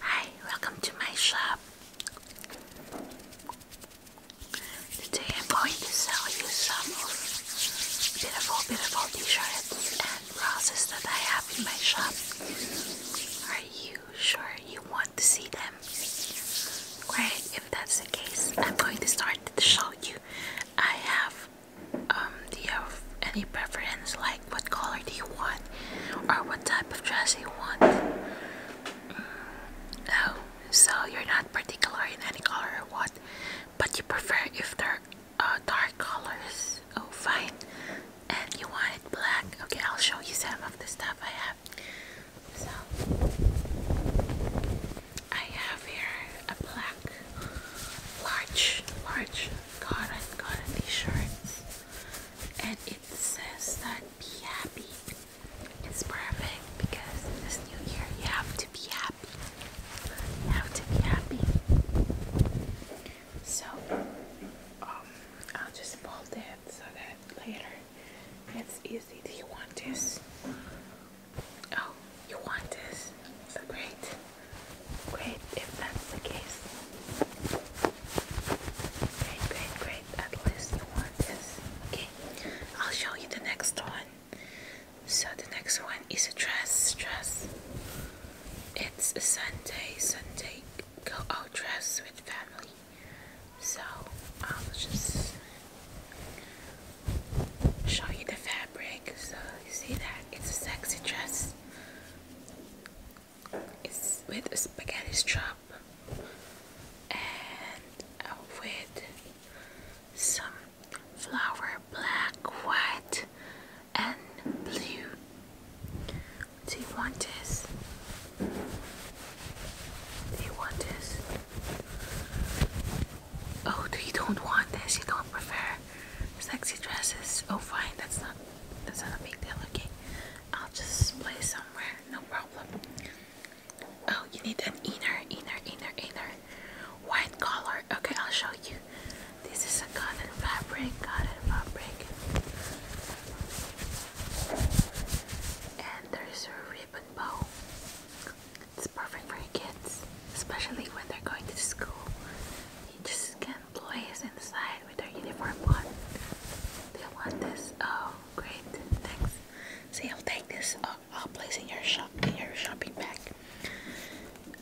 Hi, welcome to my shop. Today I'm going to sell you some of beautiful, beautiful t-shirts and blouses that I have in my shop. Are you sure you want to see them? Great, if that's the case, I'm going to start to show you. I have, um, do you have any preference? Like, what color do you want? or what type of dress you want. Mm, oh, so you're not particular in any color or what, but you prefer if they're uh, dark colors. Oh, fine. And you want it black. Okay, I'll show you some of the stuff I have. So, I have here a black, large, large cotton, cotton t-shirt and it says that be happy. It's perfect because this new year you have to be happy. have to be happy. So um I'll just fold it so that later it's easy. Do you want this? Oh, you want this? So great. Great, if that's the case. Great, great, great. At least you want this. Okay, I'll show you the next one. So the next one is a dress, dress. It's a Sunday, Sunday go out dress with family. So I'll just show you the fabric. So you see that it's a sexy dress. It's with a spaghetti strap and with some flower black, white, and blue. Do you want this? Do you want this? Oh, do you don't want this? You don't prefer? sexy dresses. Oh, fine, that's not that's not a big deal. Okay, I'll just place somewhere, no problem. Oh, you need an inner, inner, inner, inner white collar. Okay, I'll show you. This is a cotton fabric, cotton fabric, and there's a ribbon bow. It's perfect for your kids, especially when they're going to school. You just can employees inside with their uniform on. They want this. Oh, great. Thanks. See, i will take this. I'll place in your shop in your shopping bag.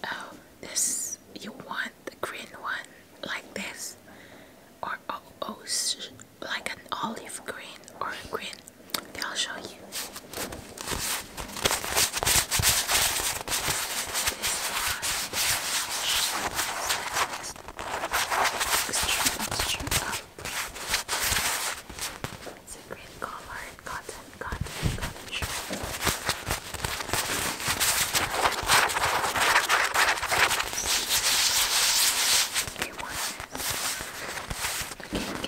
Oh, this you want the green one like this, or oh, oh like an olive green or a green. they will show you. It's a great color, cotton, cotton, cotton shirt. Okay, one. Okay, we can have it.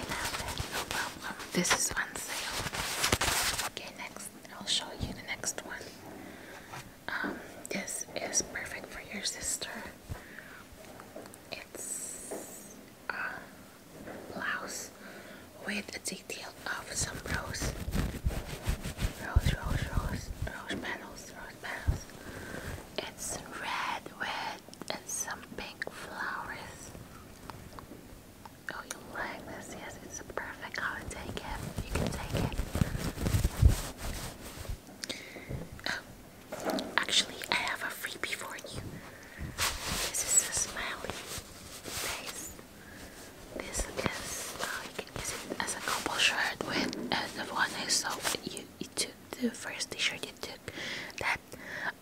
No problem problem. This is on sale. Okay, next I'll show you the next one. Um, this is perfect for your sister. It's a blouse with a detail of some rose, rose, rose, rose, rose petals, rose petals. It's red with and some pink flowers. Oh, you like this? Yes, it's a perfect holiday gift. You can take it. Oh, actually, I have a freebie for you. This is a smiley face. This is, oh, you can use it as a couple shirt with, and the one I saw you, you took the first t-shirt you took that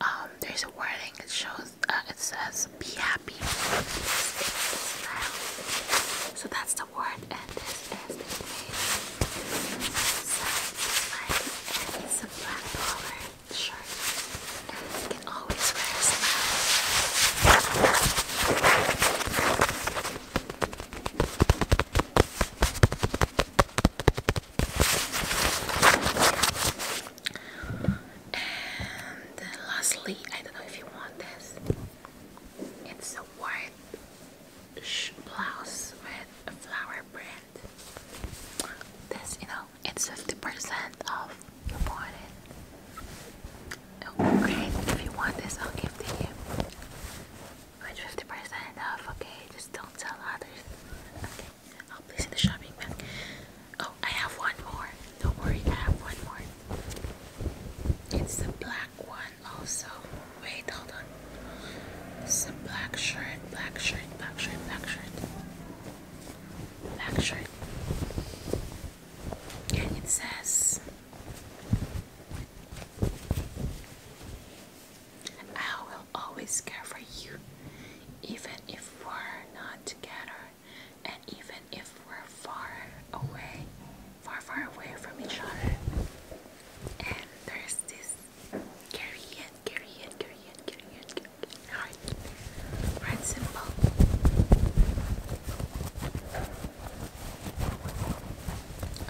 um, there's a wording it shows uh, it says be happy so that's the word and this is the page so like, it's a black collar shirt you can always wear a smile and lastly, I don't know if you want this. It's a white blouse with a flower print. This, you know, it's 50% off you bought it. Oh, If you want this, I'll give to you. But 50% off, okay? Just don't tell others. Okay. Oh, please place the shopping bag. Oh, I have one more. Don't worry, I have one more. It's the black one also. Wait, hold on. It's a black shirt, black shirt, black shirt, black shirt. Black shirt. And it says I will always care for you, even if we're not together, and even if we're far away, far, far away from each other. And there's this Korean, Korean, Korean, Korean, Korean heart. Right symbol.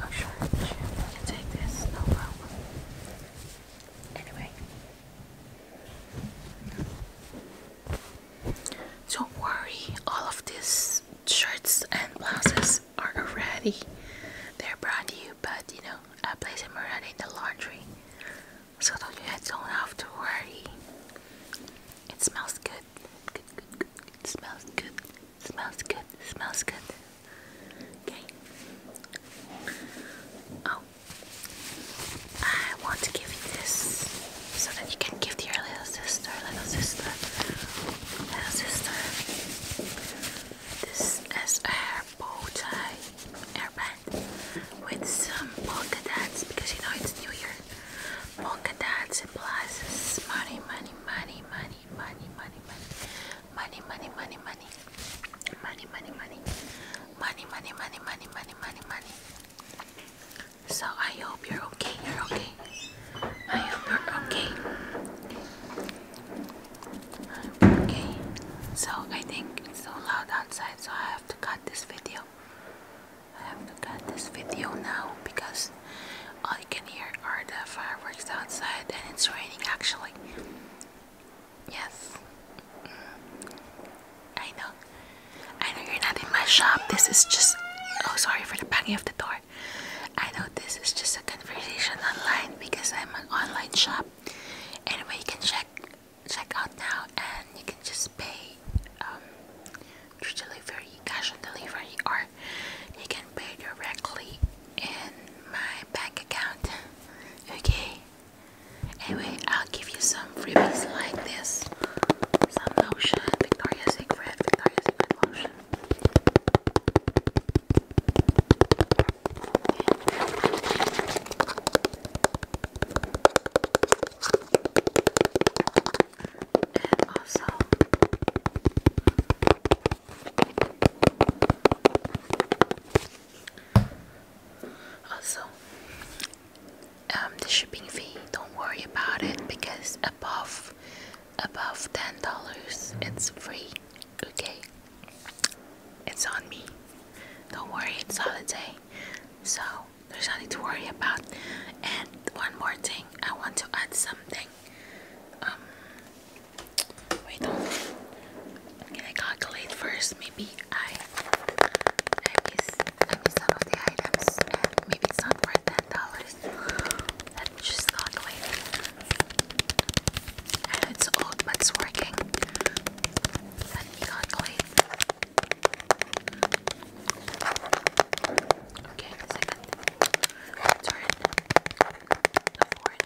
Oh sure, you can take this, no problem. Anyway, don't worry, all of these shirts and blouses are already they're brand new, but you know, I place them already in the laundry so don't you have to worry. It smells good. Good, good, good. It smells good. Smells good. Smells good. Okay. Oh. I want to give you this so that you can give to your little sister, little sister, little sister. This is a hair bow tie hairband with some polka dots because you know it's New Year. Polka dots implies money, money, money, money, money, money, money money, money, money, money, money, money, money, money, money, money, money, money, money, money. So I hope you're okay. You're okay. I hope you're okay. Okay. So I think it's so loud outside, so I have to cut this video. I have to cut this video now because all you can hear are the fireworks outside, and it's raining actually. Yes, mm. I know. I know you're not in my shop. This is just. Oh, sorry for the banging of the door. I know this is just a conversation online because I'm an online shop. Anyway, you can check check out now, and you can just pay um, delivery, cash delivery, or you can pay directly in my bank account. Okay. Anyway, I'll give you some freebies like this. Some lotion, Victoria's Secret, Victoria's Secret lotion. And also also, um, the shipping fee. Don't worry about it because above above ten dollars, it's free. Okay, it's on me. Don't worry, it's holiday, so there's nothing to worry about. And one more thing, I want to add something. Um, wait on. I calculate first? Maybe I, I some of the items, maybe it's not worth ten dollars. Let me just calculate. I it's old, but it's working. Let me calculate. Okay, the second turn, the fourth,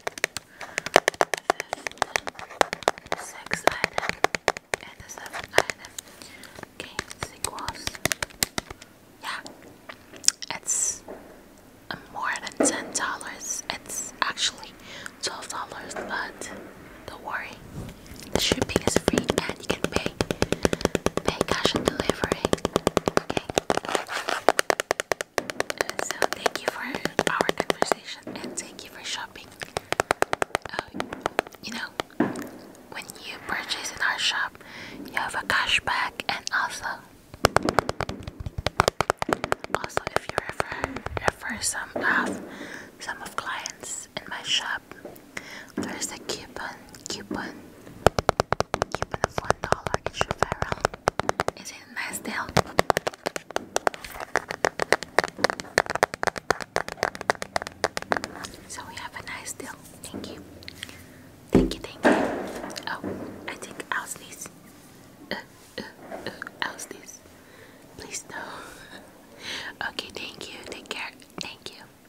the fifth, sixth item, and the seventh item. Okay, this equals, yeah, it's more than ten dollars. It's actually twelve dollars, but don't worry, the shipping is free and you can pay pay cash and delivery. So thank you for our conversation and thank you for shopping. Uh, you know, when you purchase in our shop, you have a cashback and also also if you refer refer some some of clients in my shop, there's a coupon coupon you for the one dollar extra feral. Is it a nice deal? So we have a nice deal. Thank you. Thank you, thank you. Oh, I think I'll uh, uh, uh, Please no. okay, thank you. Take care. Thank you.